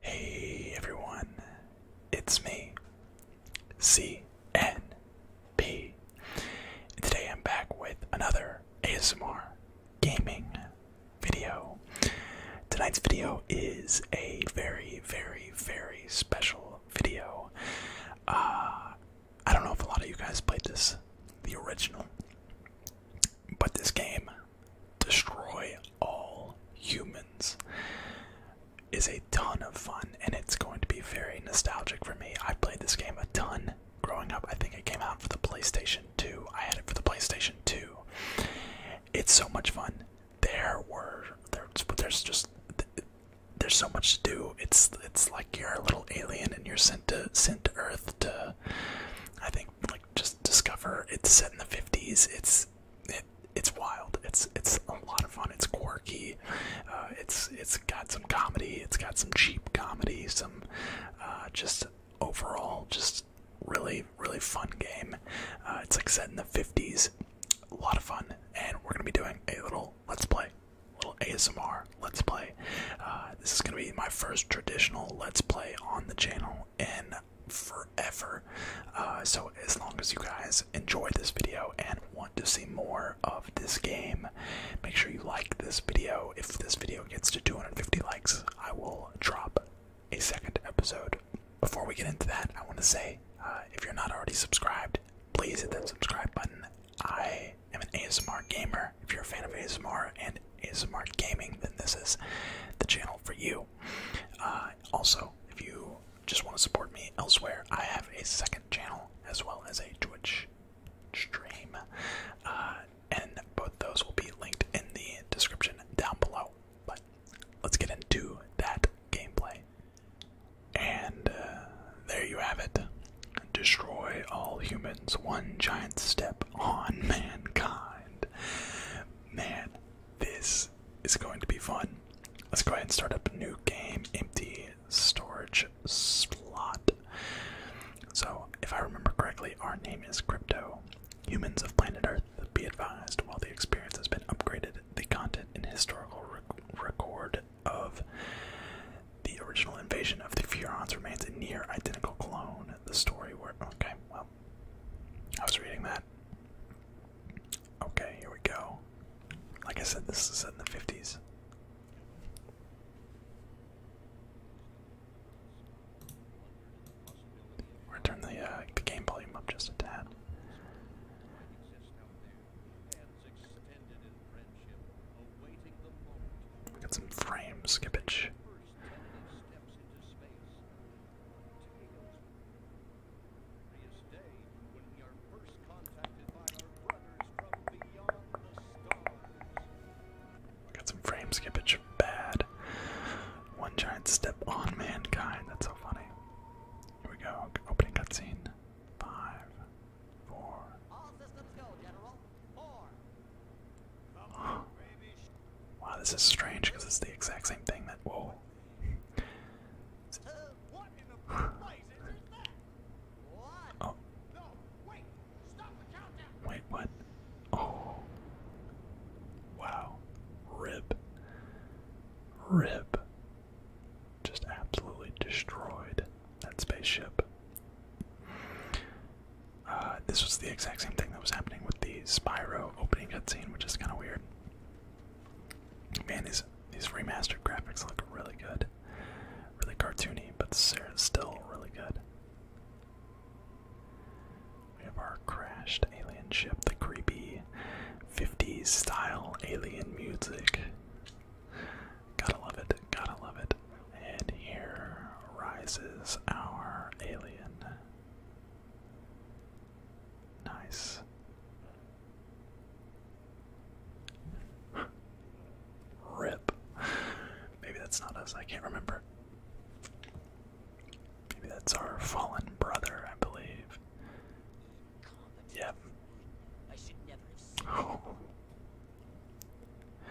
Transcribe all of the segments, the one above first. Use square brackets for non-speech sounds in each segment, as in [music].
Hey everyone, it's me, CNP. And today I'm back with another ASMR gaming video. Tonight's video is a very, very, very special video. Uh, I don't know if a lot of you guys played this, the original. But this game, Destroy All Humans, is a ton of fun and it's going to be very nostalgic for me. I played this game a ton growing up. I think it came out for the PlayStation 2. I had it for the PlayStation 2. It's so much fun. There were there's there's just there's so much to do. It's it's like you're a little alien and you're sent to sent to Earth to I think like just discover. It's set in the 50s. It's it's it, it's wild. It's it's a lot of fun. It's quirky. Uh, it's it's got some comedy. It's got some cheap comedy. Some uh, just overall just really really fun game. Uh, it's like set in the fifties. A lot of fun, and we're gonna be doing a little let's play, little ASMR let's play. this is gonna be my first traditional let's play on the channel and forever. Uh, so as long as you guys enjoy this video and want to see more of this game, make sure you like this video. If this video gets to 250 likes, I will drop a second episode. Before we get into that, I want to say uh, if you're not already subscribed, please hit that subscribe button. I am an ASMR gamer. If you're a fan of ASMR and is smart gaming, then this is the channel for you. Uh, also, if you just want to support me elsewhere, I have a second channel as well as a Twitch stream, uh, and both those will be linked in the description down below. But let's get into that gameplay. And uh, there you have it. Destroy all humans, one giant step on [laughs] mankind. Man, this is going to be fun. Let's go ahead and start up a new game, empty storage slot. So, if I remember correctly, our name is Crypto. Humans of planet Earth, be advised, while the experience has been upgraded, the content and historical record of the original invasion of the Furons remains a near identical clone. The story where. Okay, well, I was reading that. Okay, here we go. Like I said, this is set in the 50s. We're gonna turn the, uh, the game volume up just a tad. We got some frame skippage. Got some frame skippage bad. One giant step on mankind. That's so funny. Here we go. Opening cutscene. Five, Four, Wow, this is strange because it's the exact same thing that. Whoa. oh. Wait, what? Oh. Wow. Rib. Rib. Just absolutely destroyed that spaceship. Uh, this was the exact same thing that was happening with the Spyro opening cutscene, which is kind of weird. Man, these these remastered graphics look really good, really cartoony, but still really good. We have our crashed alien ship, the creepy '50s style alien music. Gotta love it. Gotta love it. And here rises our alien. Nice. Rip. Maybe that's not us, I can't remember. Maybe that's our fallen brother, I believe. Yep. oh. [laughs]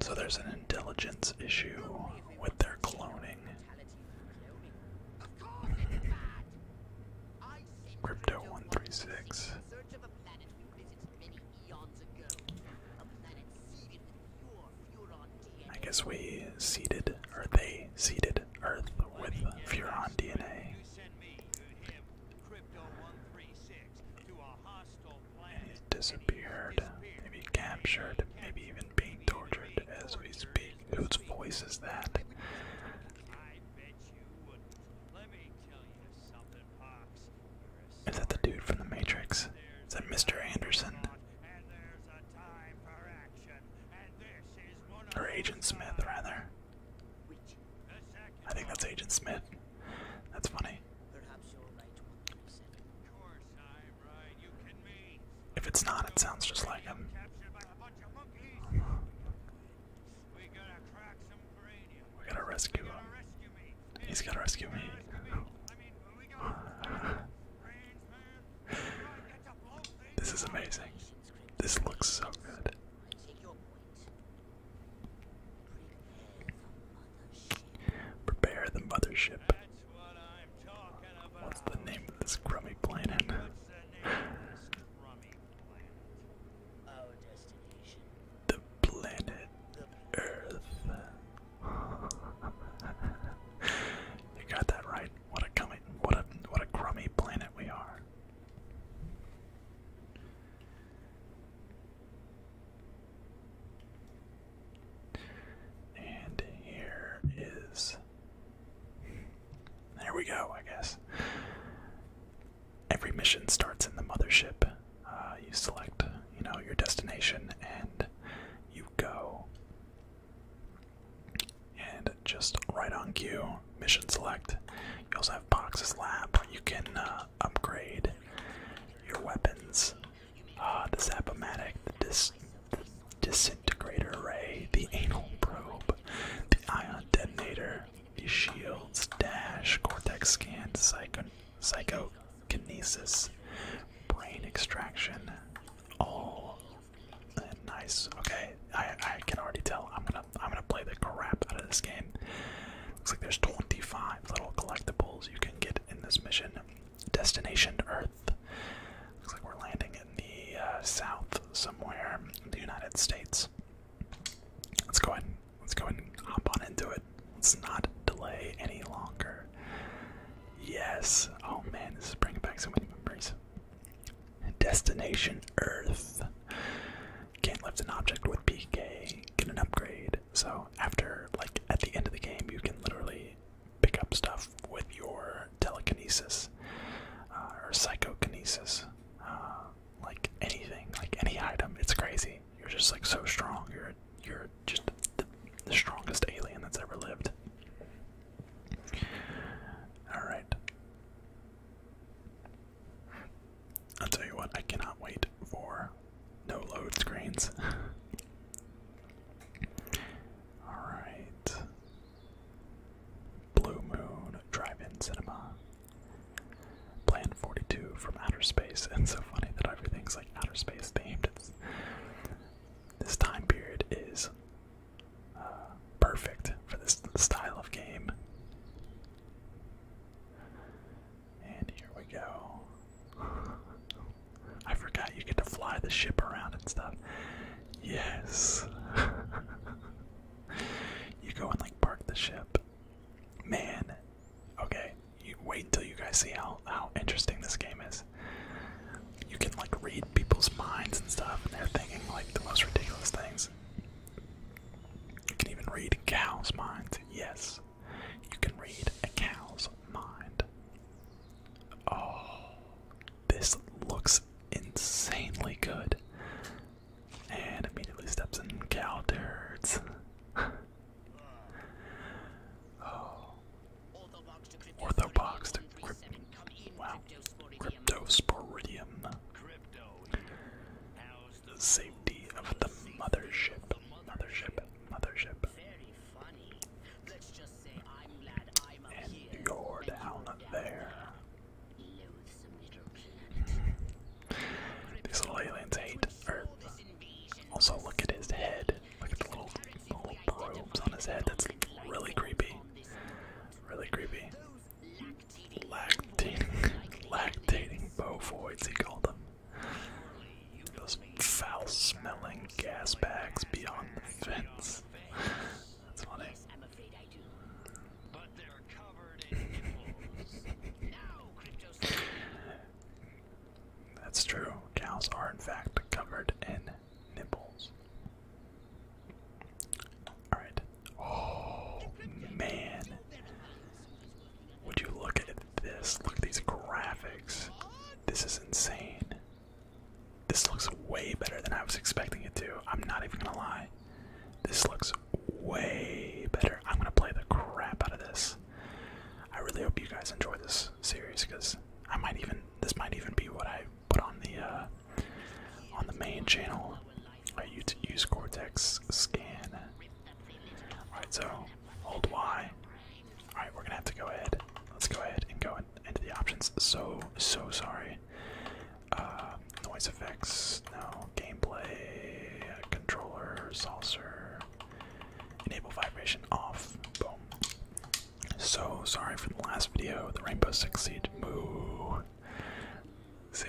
So there's an intelligence issue with their cloning. Crypto 136. I guess we seeded, or they seeded Earth with Furon DNA. And he disappeared, maybe captured, maybe even being tortured as we speak. Whose voice is that? Is that the dude from the Matrix? Is that Mr. Anderson? Or Agent Smith, rather. I think that's Agent Smith. That's funny. If it's not, it sounds just like him. We gotta rescue him. He's gotta rescue me. [laughs] This is amazing. This looks so good. Prepare the mothership. What's the name of this crummy planet? The planet Earth. [laughs] you got that right. What a crummy, what a what a crummy planet we are. And here is. There we go, I guess. Every mission starts in the mothership. Uh, you select, you know, your destination and you go. And just right on cue, mission select. You also have Box's lab. You can uh, upgrade your weapons. Uh, the Zapomatic, the, Disintegrator Array, the Anal Probe, the Ion Detonator, the shields, dash, cortex scan, psycho psychokinesis, brain extraction, all nice. Okay, I I can already tell I'm gonna I'm gonna play the crap out of this game. Looks like there's 25 little collectibles you can get in this mission. Destination Earth. Looks like we're landing in the uh, south somewhere in the United States. Let's go ahead. let's go ahead hop on into it. Let's not delay any longer. Yes. Oh man, this is bringing back so many memories. Destination Earth. Can't lift an object with PK. Get an upgrade. So after, like, at the end of the game, you can literally pick up stuff with your telekinesis uh, or psychokinesis. Uh, like anything, like any item. It's crazy. You're just, like, so strong. You're, you're just the, the strongest alien that's ever lived. Alright. I'll tell you what, I cannot wait for no load screens. [laughs] Alright. Blue Moon Drive In Cinema. Plan 42 from Outer Space. [laughs] it's so funny that everything's like outer space themed. this time period is uh, perfect for this style of game. And here we go. [sighs] I forgot you get to fly the ship around and stuff. Yes. [laughs] you go and like park the ship. Man. Okay. You wait until you guys see how how interesting this game is. You can like read people's minds and stuff, and they're thinking like the most ridiculous things. You can even read cows' minds. Yes you can read a cow's mind. Oh, this looks insanely good. And immediately steps in cow turds. [laughs] oh. Orthobox to Crypt Wow. Cryptosporidium safety of the mothership. Mothership, mothership. And you're down there. [laughs] These little aliens hate Earth. Also, look at his head. Look at the little, little probes on his head. That's really creepy. Really creepy. Lactating, [laughs] lactating bovoids, he called them. Those foul smelling gas bags beyond the fence. That's funny. That's true. Cows are in fact covered in nipples. Alright. Oh man. Would you look at this. Look at these graphics. This is insane. This looks way better than I was expecting it to. I'm not even gonna lie. This looks way better. I'm gonna play the crap out of this. I really hope you guys enjoy this series because I might even this might even be what I put on the uh, on the main channel. I use Cortex scan Alright, so hold Y. Alright, we're gonna have to go ahead. Let's go ahead and go into the options. So, so sorry. Uh, noise effects, no. Gameplay, controller, salsar. Enable vibration off. Boom. So sorry for the last video. The Rainbow Six Siege. Moo. See?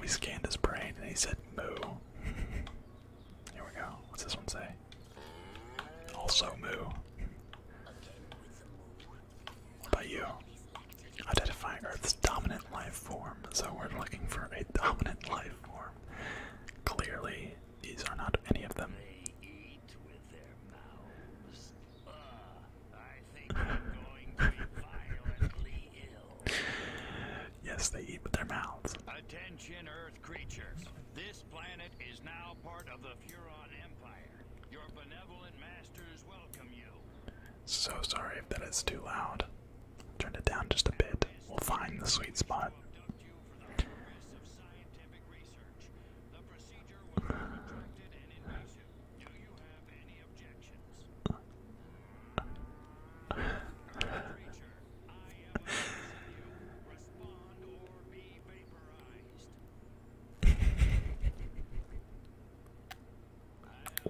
We scanned his brain and he said moo. [laughs] Here we go. What's this one say? Also moo. What about you? Identifying Earth's dominant life form. So we're looking for a dominant life form. Clearly, these are not any of them yes, they eat with their mouths. Attention, Earth creatures. This planet is now part of the Furon Empire. Your benevolent masters welcome you. So sorry if that is too loud. Turn it down just a bit. We'll find the sweet spot. [laughs]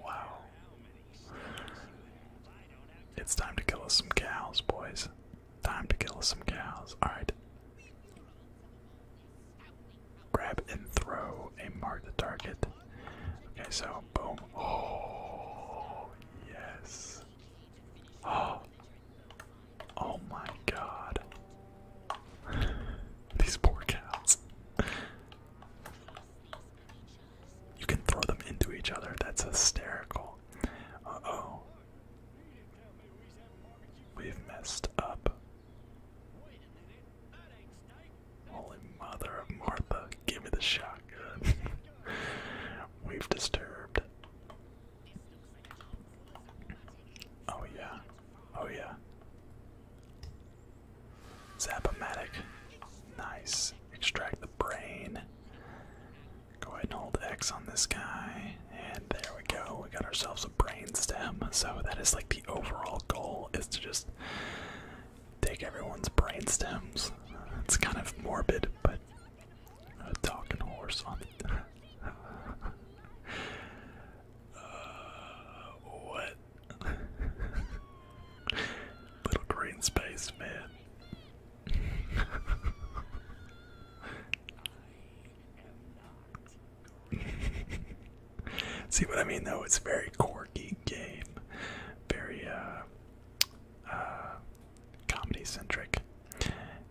wow. It's time to kill us some cows, boys. Time to kill us some cows. Alright grab and throw and mark the target. Okay, so boom. Oh, yes. Oh, [gasps] oh my god. [laughs] These poor cows. You can throw them into each other. That's hysterical. Uh oh. We've messed up. Holy mother of Martha, give me the shotgun. [laughs] We've disturbed. Oh yeah. Oh yeah. Zapomatic. Nice. Extract the brain. Go ahead and hold X on this guy. And there we go. We got ourselves a brain stem. So that is like the overall goal is to just take everyone's brain stems. It's kind of morbid, but talking horse on [laughs] uh, what? [laughs] Little green space, [laughs] See what I mean though? It's a very quirky game. Very uh uh comedy centric.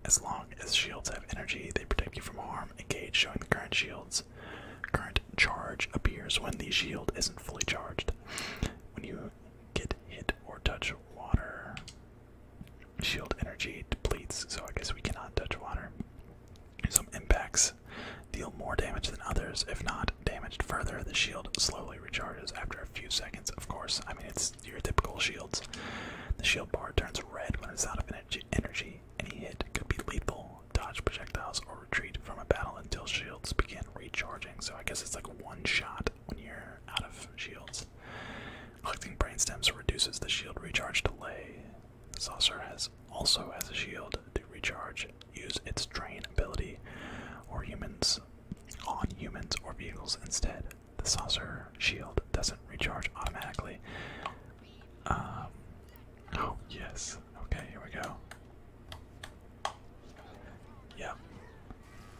As long as shields have energy, they protect you from harm. Engage showing the current shields. Current charge appears when the shield isn't fully charged. When you get hit or touch water, shield energy depletes, so I guess we cannot touch water. Some impacts deal more damage than others. If not damaged further, the shield slowly recharges after a few seconds, of course. I mean, it's your typical shields. The shield bar turns red when it's out of energy. energy. Any hit could be lethal. Dodge projectiles or retreat from a battle until shields begin recharging. So I guess it's like one shot when you're out of shields. Collecting brain stems reduces the shield recharge delay. The saucer has also has a shield to recharge use its drain ability or humans on humans or vehicles instead. The saucer shield doesn't recharge automatically. Um, oh, yes. Okay, here we go. Yep.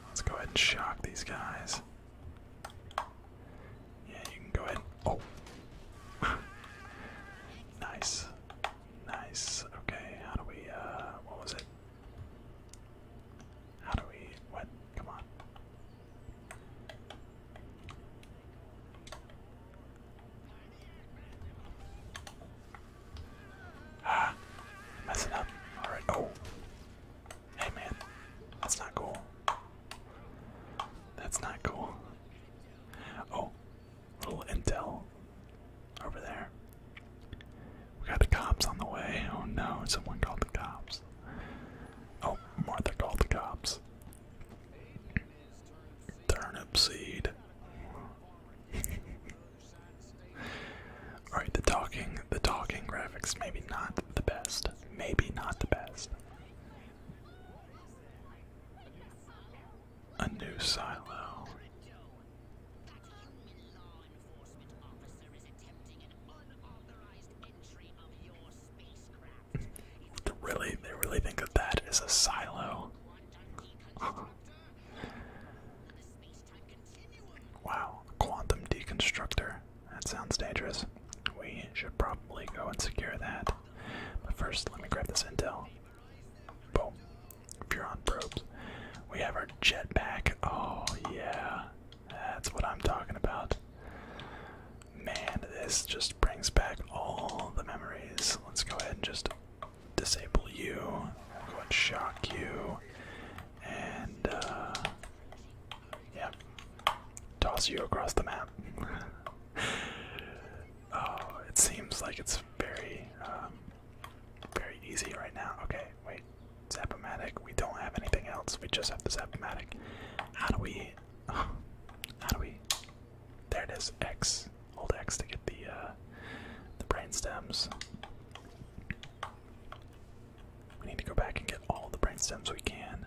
Let's go ahead and shock these guys. Yeah, you can go ahead. oh. [laughs] nice. Nice. Okay, how do we, uh, what was it? How do we, what? Come on. Ah, messing up. Alright, oh. Hey man, that's not cool. That's not cool. Oh, little intel over there. We got the cops on the way. Oh no, someone called the cops. Oh, Martha called the cops. Turnip seed. [laughs] Alright, the talking the talking graphics maybe not the best. Maybe not the best. A new silo. [laughs] really, they really think that as a silo. [laughs] wow, quantum deconstructor. That sounds dangerous. We should probably go and secure that. But first, let me grab this intel. Boom. Furon probes. We have our jetpack. Oh, yeah. That's what I'm talking about. Man, this just brings back all the memories. Let's go ahead and just disable you. go and shock you. And, uh. Toss you across the map. [laughs] Oh, it seems like it's very, um, very easy right now. Okay, wait. Zapomatic. We don't have anything else. We just have the Zapomatic. How do we? [sighs] how do we? There it is. X. Hold X to get the uh, the brain stems. We need to go back and get all the brain stems we can.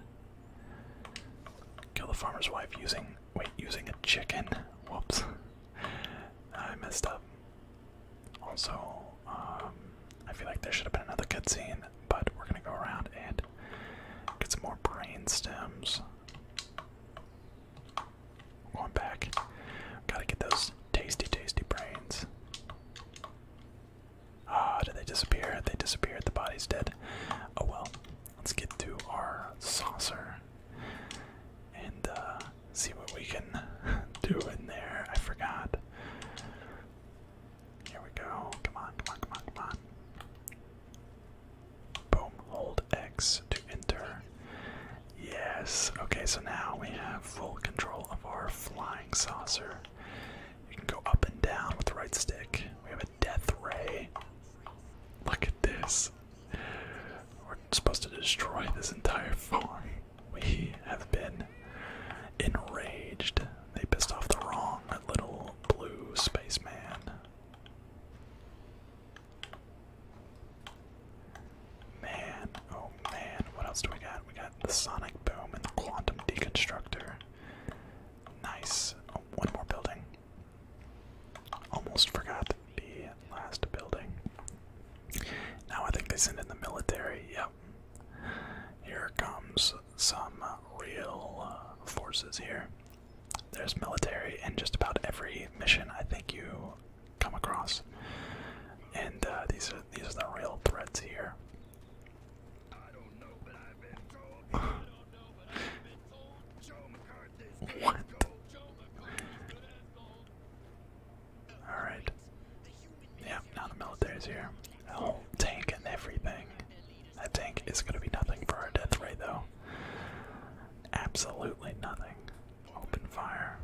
Kill the farmer's wife using wait using a chicken. Whoops. I messed up. Also, um, I feel like there should have been another cutscene, but we're gonna go around and get some more brain stems. Going back, gotta get those tasty, tasty brains. Ah, oh, did they disappear? They disappeared. The body's dead. Oh well. Let's get to our saucer and uh, see what we can [laughs] do in there. I forgot. Here we go. Come on, come on, come on, come on. Boom. Hold X to enter. Yes. Okay, so now we have full control of our flying saucer. You can go up and down with the right stick. We have a death ray. Look at this. We're supposed to destroy this entire farm. We have been enraged. They pissed off the wrong little blue spaceman. Man, oh man, what else do we got? We got the sonic boom and the quantum deconstructor. Nice. Oh, one more building. Almost forgot the last building. Now I think they send in the military. Yep. Here comes some real uh, forces here. There's military in just about every mission I think you come across. And uh, these are these are the real threats here. [sighs] What? Alright. Yep, now the military's here. Oh, tank and everything. That tank is gonna be nothing for our death ray though. Absolutely nothing. Open fire.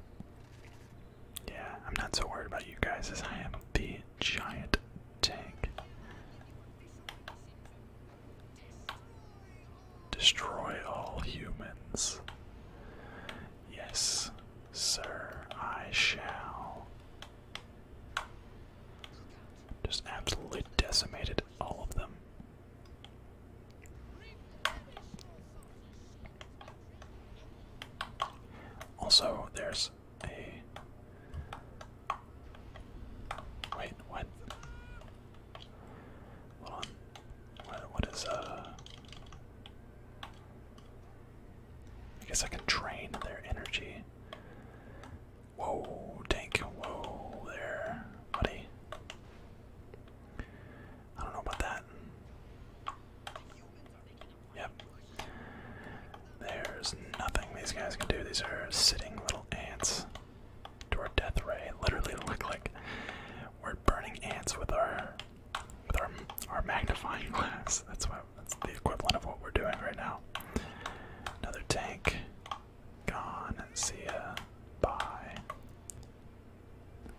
Yeah, I'm not so worried about you guys as I am the giant tank. Destroy all humans. Yes, sir, I shall. Just absolutely decimated all of them. Also, there's a. Wait, what? what is, uh. I guess I can drain their energy. Whoa, tank. Whoa, there, buddy. I don't know about that. Yep. There's nothing these guys can do. These are sitting little ants to our death ray. literally look like we're burning ants with our with our our magnifying glass. That's what that's the equivalent of what we're doing right now. Another tank. Gone. See ya. Bye.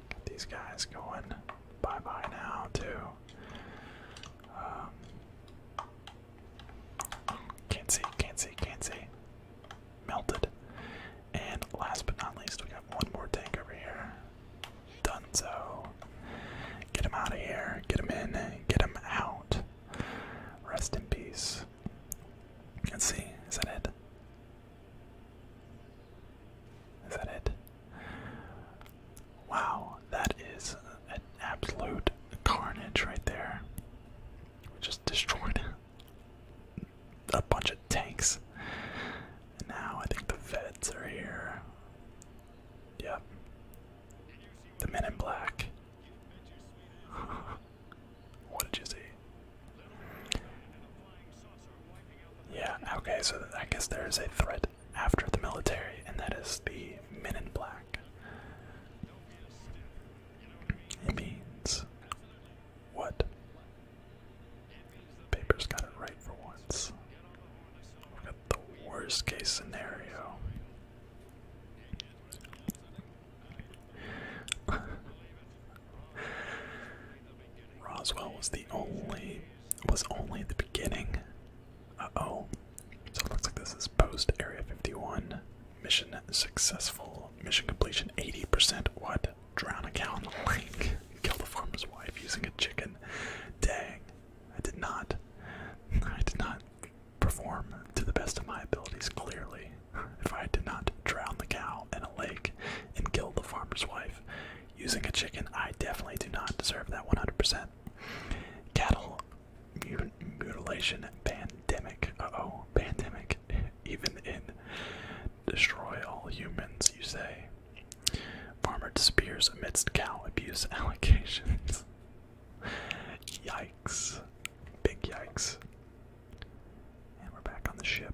Get these guys going. Bye bye now too. Um, can't see, can't see, can't see melted. And last but not least, we got one more tank over here. Dunzo. Get him out of here. Get him in. Get him out. Rest in peace. Let's see. Is that it? Is that it? Wow, that is an absolute carnage right there. We just destroyed a bunch of tanks. And now I think the vets are here. Yep. The men in black. [laughs] what did you see? Yeah, okay, so I guess there is a threat after the military, and that is the men in black. It means what? Paper's got it right for once. We've got the worst case scenario. [laughs] Roswell was the only was only the beginning. Uh oh. So it looks like this is post Area 51. Mission successful. Mission completion 80%. What? Drown a cow in the lake. [laughs] Kill the farmer's wife using a chicken. Dang. I did not. [laughs] I did not perform to the best of my abilities, clearly. [laughs] If I did not drown the cow in a lake and kill the farmer's wife using a chicken, I definitely do not deserve that 100%. Cattle mutilation pandemic. Uh oh, pandemic even in Destroy All Humans, you say. Farmer disappears amidst cow abuse [laughs] allegations. yikes. Big yikes. And we're back on the ship.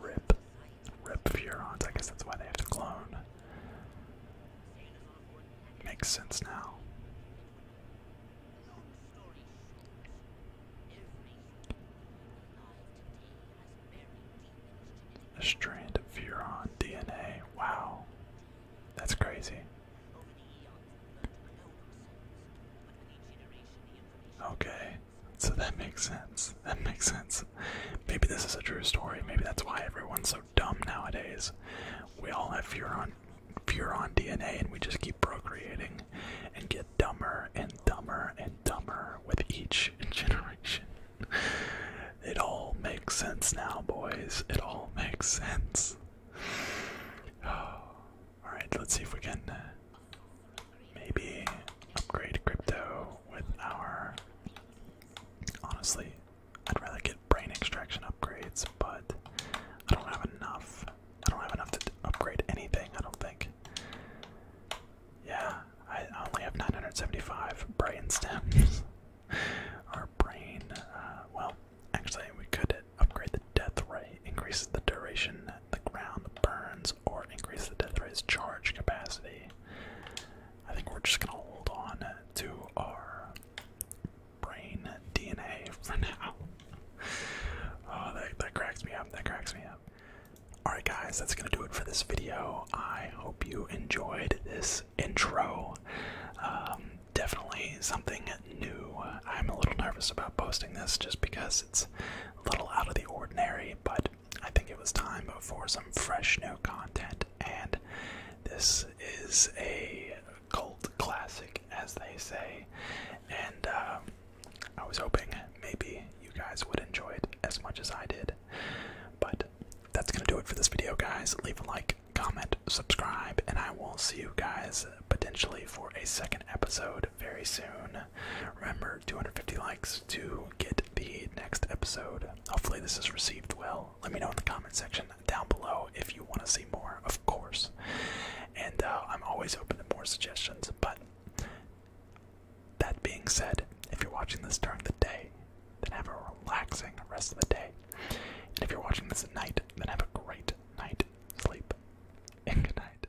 Rip. Rip Furons. I guess that's why they have to clone. Makes sense now. A strand of Furon DNA. Wow. That's crazy. Okay. So that makes sense. That makes sense. Maybe this is a true story. Maybe that's why everyone's so dumb nowadays. We all have furon furon DNA and we just keep procreating and get dumber and dumber and dumber with each generation. It all makes sense now, boys. It all makes sense. [sighs] Alright, let's see if we can uh, maybe upgrade crypto with our. Honestly, I'd rather get brain extraction upgrades, but I don't have enough. I don't have enough to upgrade anything, I don't think. Yeah, I only have 975 brain stems. [laughs] Our brain, uh, well, actually, we could upgrade the death ray, increase the duration the ground burns or increase the death ray's charge capacity. I think we're just gonna hold on to our brain DNA for now. [laughs] Oh, that, cracks me up. That cracks me up. Alright, guys, that's gonna do it for this video. I hope you enjoyed this intro. Um, definitely something new. I'm a little nervous about posting this just because it's a little out of the ordinary, but I think it was time for some fresh new content, and this is a cult classic, as they say. And uh, I was hoping maybe you guys would enjoy it as much as I did. But that's gonna do it for this video, guys. Leave a like, comment, subscribe, and I will see you guys potentially for a second episode very soon. Remember, 250 likes to get the next episode. Hopefully, this is received well. Let me know in the comment section down below if you want to see more, of course. And uh, I'm always open to more suggestions. But that being said, if you're watching this during the day, then have a relaxing rest of the day. And if you're watching this at night, then have a great night sleep. And good night.